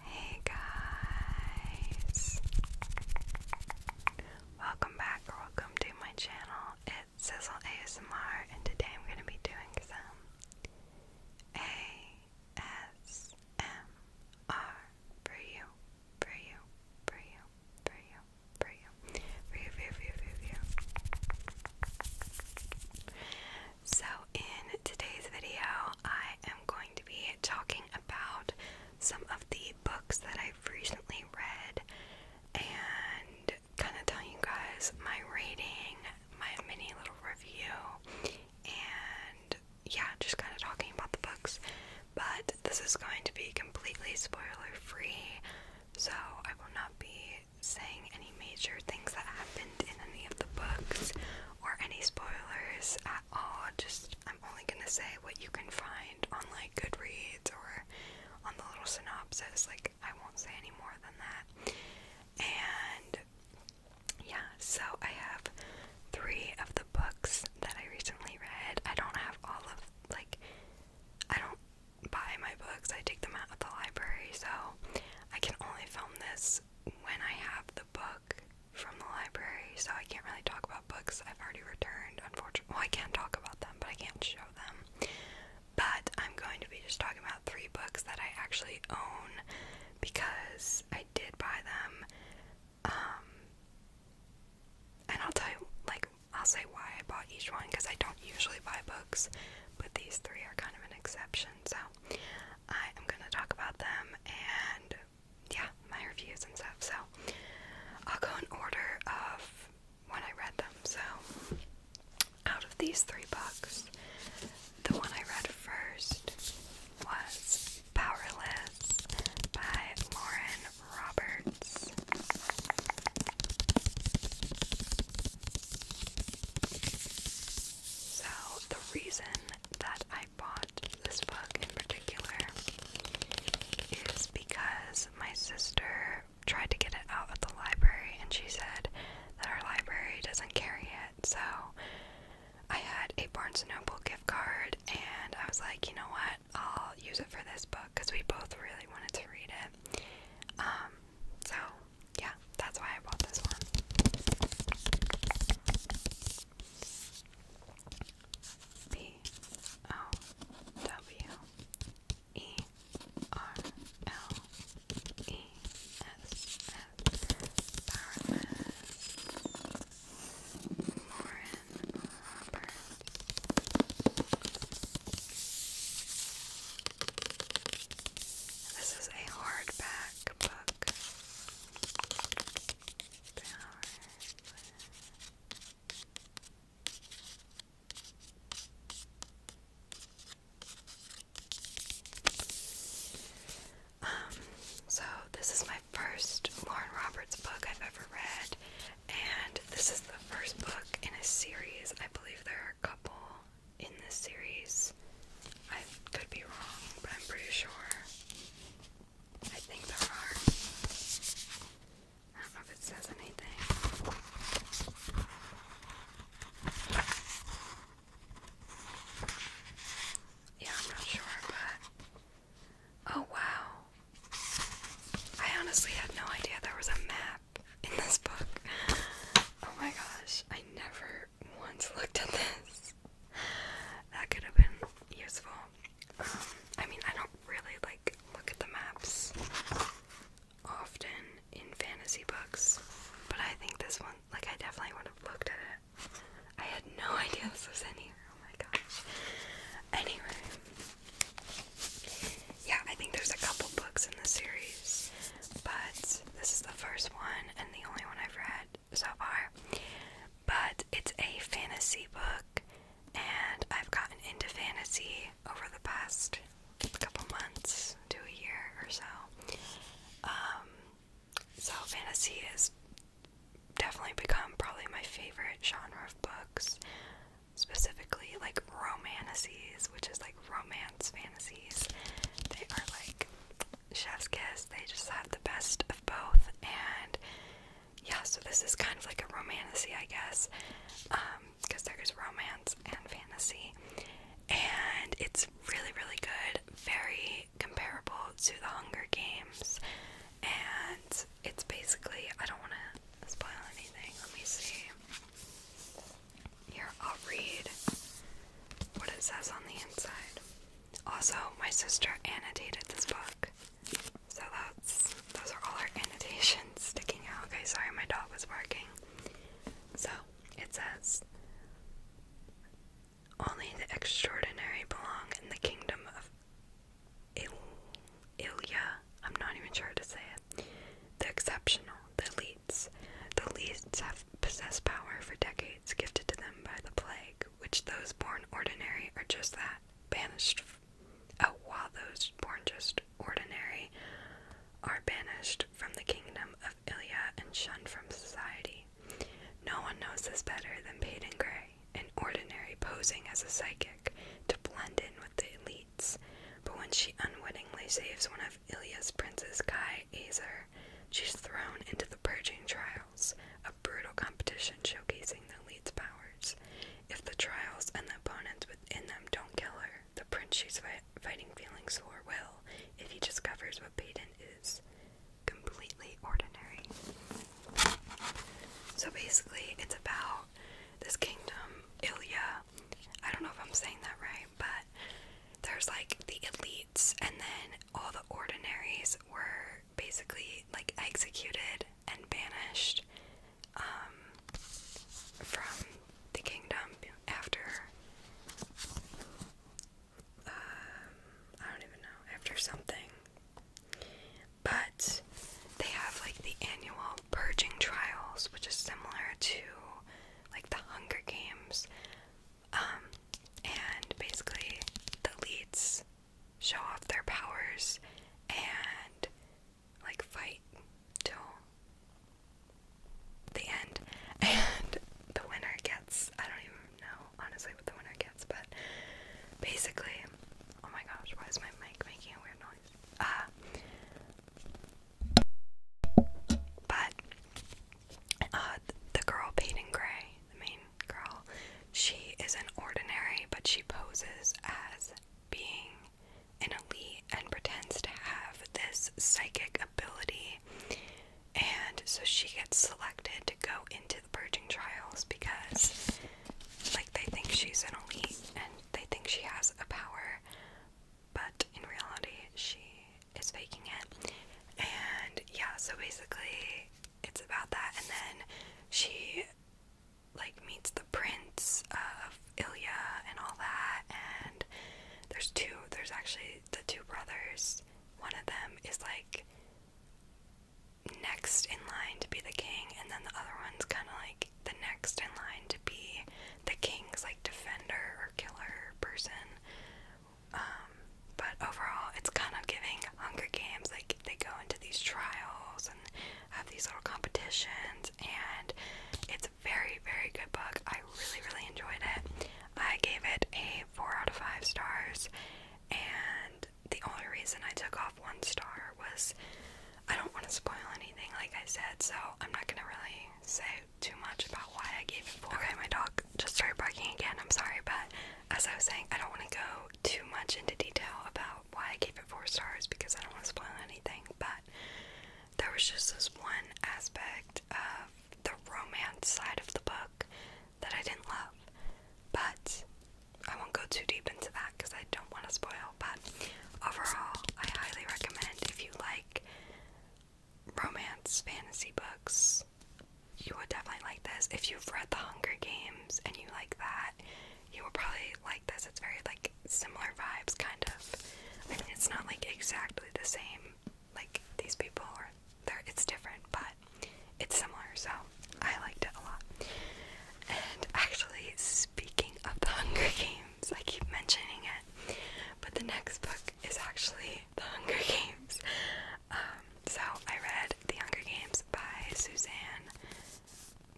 Hey guys! Welcome back welcome to my channel. It's Sizzle ASMR and today I'm going to be doing some ASMR for you, for you, for you, for you, for you, for you, for you, for you. For you. So, in today's video, I am going to be talking about some of the books that I've recently read and kind of telling you guys my rating, my mini little review, and yeah, just kind of talking about the books. But this is going to be completely spoiler free, so I will not be saying any major things that happened in any of the books or any spoilers at all. Just I'm only gonna say what you can find on like Goodreads or on the little synopsis. Like I won't say any more than that. And yeah, so I have three of the books that I recently read. I don't have all of like I don't buy my books. I take them out of the library, so I can only film this when I have the book from the library, so I can't really talk about books I've already returned, unfortunately. Well, I can talk about them, but I can't show them. But I'm going to be just talking about three books that I actually own because I did buy them. Um, and I'll tell you, like, I'll say why I bought each one because I don't usually buy books, but these three are kind of an exception, so I am gonna talk about them and yeah, my reviews and stuff. So I'll go in order of when I read them. So out of these three books, the one I read first was Powerless by Lauren Roberts. So, the reason that I bought this book in particular is because my sister tried to get it out at the library and she said that our library doesn't carry it. So, I had a Barnes & Noble gift card and I was like, you know what? I'll use it for this book because we both really wanted to read it. Um, so yeah, that's why I bought this one. Powerless This is a hard um, so this is my first Lauren Roberts book I've ever read, and this is the first book in a series. I believe there couple in this series. I could be wrong, but I'm pretty sure. I think there are. I don't know if it says anything. Yeah, I'm not sure, but. Oh wow. I honestly had no idea there was a map in this book. Oh my gosh, I never never once looked at this. That could have been useful. Um, I mean, I don't really like look at the maps often in fantasy books, but I think this one, like, I definitely would have looked at it. I had no idea this was in here. Oh my gosh. Anyway, yeah, I think there's a couple books in the series but this is the first one and the only one I've read so far. But it's a fantasy book, and I've gotten into fantasy over the past couple months to a year or so. Um, so, fantasy has definitely become probably my favorite genre of books, specifically like romances, which is like romance fantasies. They are like chef's kiss. They just have the best of both. And yeah, so this is kind of like a romantasy, I guess, because um, there is romance and fantasy. And it's really, really good. Very comparable to The Hunger Games. And it's basically, I don't want to spoil anything. Let me see. Here, I'll read what it says on the inside. Also, my sister annotated this book. So that's those are all our annotations sticking out. Okay, sorry my dog was barking. So it says only the extraordinary belong in the kingdom of Il Ilya. I'm not even sure how to say it the exceptional, the elites. The elites have possessed power for decades, gifted to them by the plague, which those born ordinary are just that, banished. Oh, while those born just ordinary are banished from the kingdom of Ilya and shunned from society. No one knows this better than Peyton Gray, an ordinary posing as a psychic to blend in with the elites. But when she unwittingly saves one of Ilya's princes Guy Azer, she's thrown into the purging trials, a brutal competition showcasing the leads powers. If the trials and the opponents within them don't kill her, the prince she's fighting feelings for will, if he discovers what Payton is completely ordinary. So basically, it's about this kingdom, Ilya. I don't know if I'm saying that right, but there's like the elites, and then all the ordinaries were basically like executed and banished um, from the kingdom after. Um, I don't even know, after something. But they have like the annual purging trials, which is similar to like the Hunger Games. Um, and basically, the elites show off their powers and like fight till the end. And the winner gets, I don't even know honestly what the winner gets, but basically, oh my gosh, why is my mic making a weird noise? Uh, but uh, the girl painting gray, the main girl, she is an ordinary, but she poses as being an elite and pretends to have this psychic ability. And so she gets selected to go into the purging trials because, like, they think she's an elite and they think she has a power, but in reality, she is faking it. And yeah, so basically, it's about that. And then she like meets the prince of Ilya and all that. And there's two, there's actually the two brothers. One of them is like next in line to be the king, and then the other one's kind of like the next in line to be the king's like defender or killer person. Um, but overall, it's kind of giving Hunger Games. Like they go into these trials and have these little competitions, and it's a very, very good book. I really, really enjoyed it. I gave it a four out of five stars, and the only reason I took off one star was I don't want to spoil anything, like I said, so I'm not gonna really say too much about why I gave it four. Okay, my dog just started barking again. I'm sorry, but as I was saying, I don't want to go too much into detail about why I gave it four stars because I don't want to spoil anything. But there was just this one aspect of the romance side of the book that I didn't love. But I won't go too deep into that because I don't want to spoil. But overall, I highly recommend if you like like romance fantasy books, you would definitely like this. If you've read The Hunger Games and you like that, you will probably like this. It's very like similar vibes, kind of. I mean, it's not like exactly the same. Like these people are, there. It's different, but it's similar. So I liked it a lot. And actually, speaking of The Hunger Games. I keep mentioning it. But the next book is actually The Hunger Games. Um, so I read The Hunger Games by Suzanne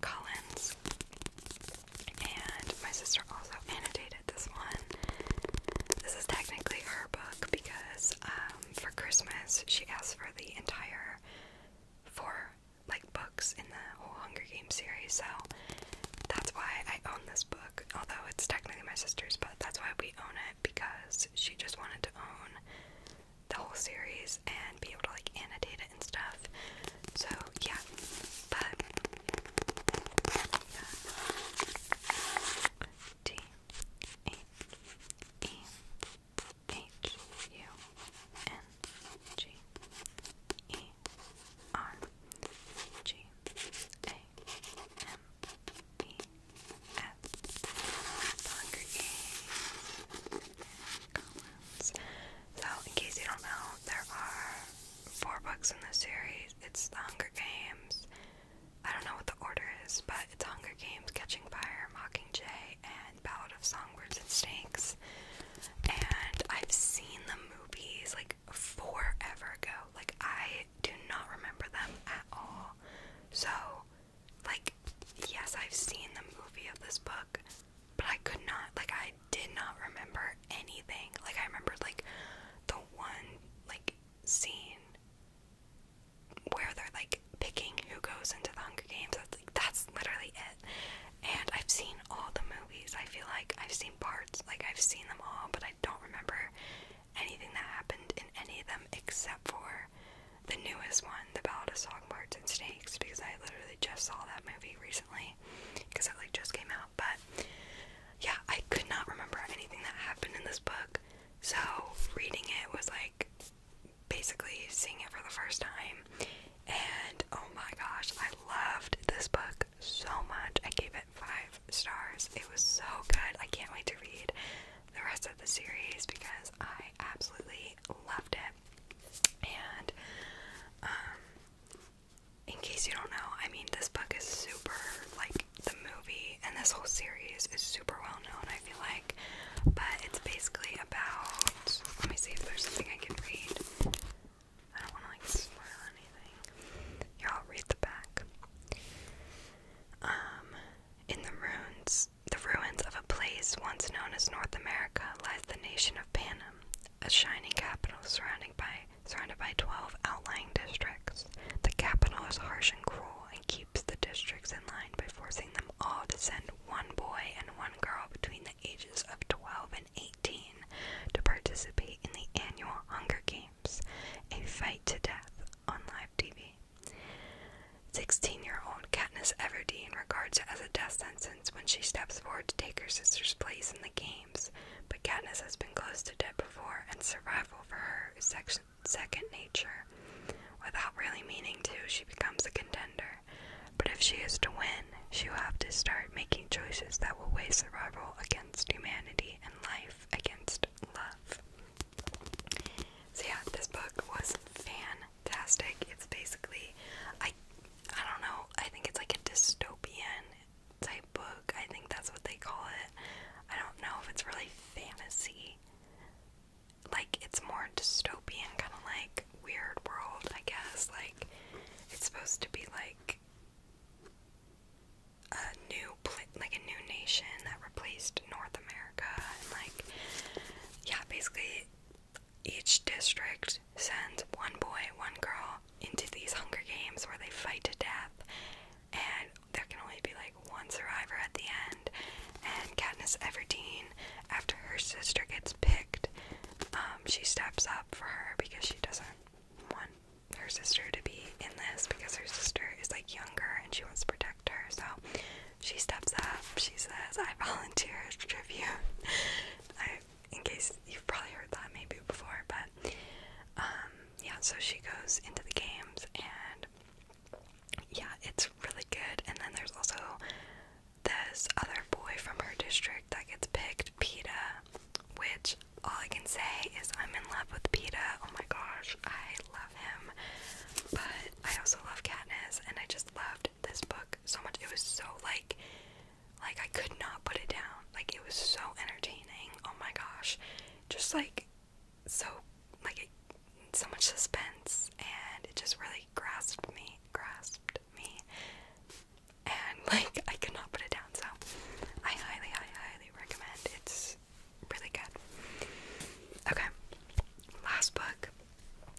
Collins. And my sister also annotated this one. This is technically her book because um, for Christmas she asked for the entire four like book in the whole Hunger Games series, so that's why I own this book. Although it's technically my sister's, but that's why we own it because she just wanted to own the whole series and be able to like annotate it and stuff. So yeah, but T A E H U N G E R G A M E F Hunger Games So in case you don't know, there are four books in this series. It's the Hunger Games. I don't know what the order is, but it's Hunger Games, Catching Fire, Mockingjay, and Ballad of Songbirds and Snakes. And I've seen the movies, like forever ago. Like I do not remember them at all. So, like, yes, I've seen the movie of this book, but I could not, like, I did not remember anything. Like, I remembered, like, the one, like, scene where they're, like, picking who goes into the Hunger Games. That's, like, that's literally it. And I've seen all the movies. I feel like I've seen parts, like I've seen them all, but I don't remember anything that happened in any of them except for the newest one, The Ballad of Songbirds and Snakes, because I literally just saw that movie recently because it like just came out. But yeah, I could not remember anything that happened in this book. So reading it was like basically seeing it for the first time and oh my gosh, I loved this book so much. I gave it five stars. It was so good. I can't wait to read the rest of the series because I absolutely loved it. And um in case you don't know, I mean this book is super like the movie and this whole series is super well known, I feel like. But it's basically about let me see if there's something I can read. I don't want to like spoil anything. Here, i read the back. Um, in the ruins, the ruins of a place once known as North America lies the nation of Panem, a shining capital surrounded by surrounded by twelve outlying districts. The capital is harsh and cruel and keeps the districts in line by forcing them all to send one boy and one girl between the ages of twelve and eighteen to participate in the annual Hunger Games, a fight to death on live TV. 16 year old Katniss Everdeen regards it as a death sentence when she steps forward to take her sister's place in the games, but Katniss has been close to death before, and survival for her is second nature. Without really meaning to, she becomes a contender. But if she is to win, she will have to start making choices that will weigh survival against humanity and life against love. So yeah, this book was fantastic. It's basically I I don't know, I think it's like a dystopian type book. I think that's what they call it. I don't know if it's really fantasy. Like it's more dystopian, kinda like weird world, I guess. Like it's supposed to be like a new like a new nation that replaced North America and like yeah, basically each district sends one boy, one girl into these hunger games where they fight to death and there can only be like one survivor at the end and Katniss Everdeen after her sister gets picked, um, she steps up for her because she doesn't want her sister to be in this because her sister is like younger and she wants to protect her. So she steps up. She says, "I volunteer as tribute." in case you've probably heard that maybe before, but um, yeah. So she goes into the games and yeah, it's really good. And then there's also this other boy from her district that gets picked, PETA, which all I can say is I'm in love with PETA. Oh my gosh, I love him. But I also love Katniss, and I just loved this book so much. It was so like, like I could not put it down. Like it was so entertaining. Oh my gosh, just like so, like so much suspense, and it just really grasped me, grasped me and like I could not put it down. So I highly, highly, highly recommend. It's really good. Okay, last book.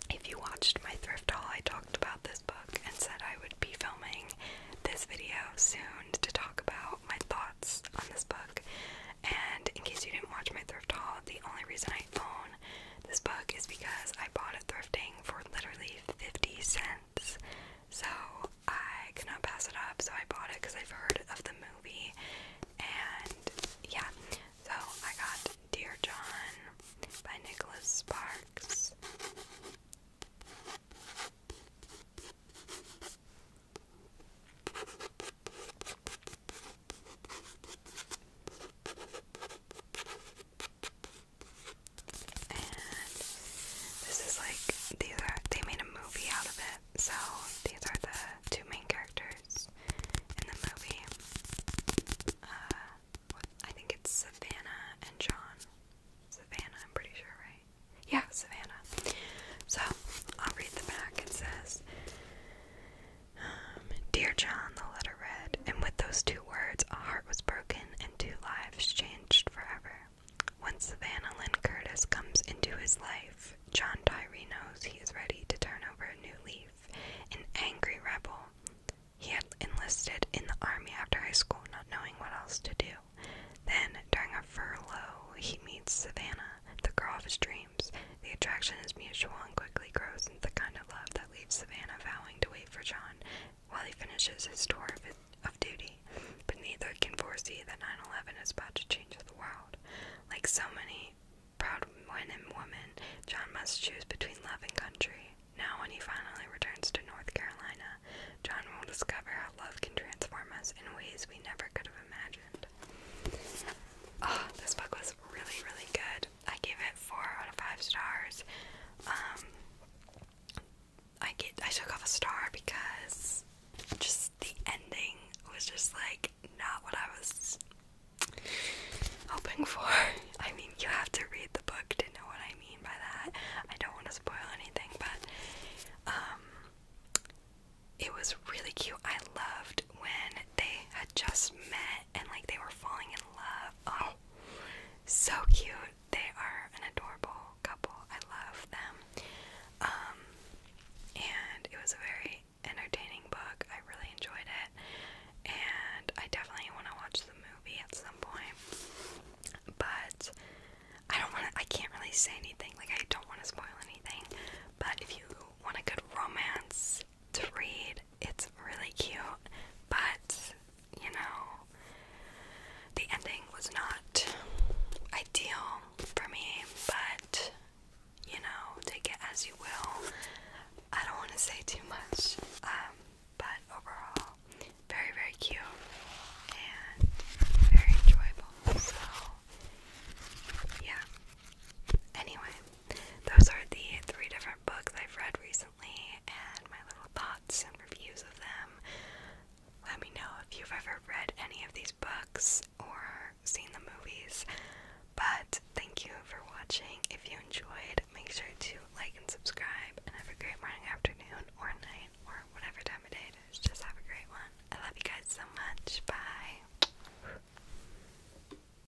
If you watched my thrift haul, I talked about this book and said I would be filming this video soon to talk about my thoughts on this book. And in case you didn't watch my thrift haul, the only reason I filmed down this book is because I bought it thrifting for literally 50 cents. So I could not pass it up, so I bought it because I've heard of the movie. And yeah, so I got Dear John by Nicholas Sparks. And this is like these are they made a movie out of it. So these are the two main characters in the movie. Uh, I think it's Savannah and John. Savannah, I'm pretty sure, right? Yeah, Savannah. So I'll read the back. It says. Um, Dear John, the letter read, and with those two words, a heart was broken and two lives changed forever. Once Savannah Lynn Curtis comes into his life, John Tyree knows he is ready to turn over a new leaf. An angry rebel. He had enlisted in the army after high school, not knowing what else to do. Then, during a furlough, he meets Savannah, the girl of his dreams. The attraction is mutual and quickly grows the kind of love that leaves Savannah vowing to wait for John while he finishes his tour of, duty, but neither can foresee that 9 11 is about to change the world. Like so many proud men and women, John must choose between love and country. Now, when he finally returns to North Carolina, John will discover how love can transform us in ways we never could have imagined. Oh, this book was really, really good. I gave it four out of five stars. Um, I get I took off a star because just the ending was just like not what I was hoping for. I mean, you have to read the book to know what I mean by that. I don't want to spoil anything, but um, it was really cute. I loved when they had just met and like they were falling in love. Oh, so cute. They are an adorable couple. I love them. Um, and it was a very entertaining book. I really enjoyed it. And I definitely want to watch the movie at some point. But I don't want to, I can't really say anything. Like, I don't want to spoil anything. But if you want a good romance to read. It's really cute, but you know, the ending was not ideal for me, but you know, take it as you will. I don't want to say too much, um, but overall, very, very cute and very enjoyable. So, yeah. Anyway, those are the three different books I've read recently and my little thoughts and reviews of them. Let me know if you've ever read any of these books or seen the movies. But thank you for watching. If you enjoyed, make sure to like and subscribe and have a great morning, afternoon, or night, or whatever time of day it is. Just have a great one. I love you guys so much. Bye.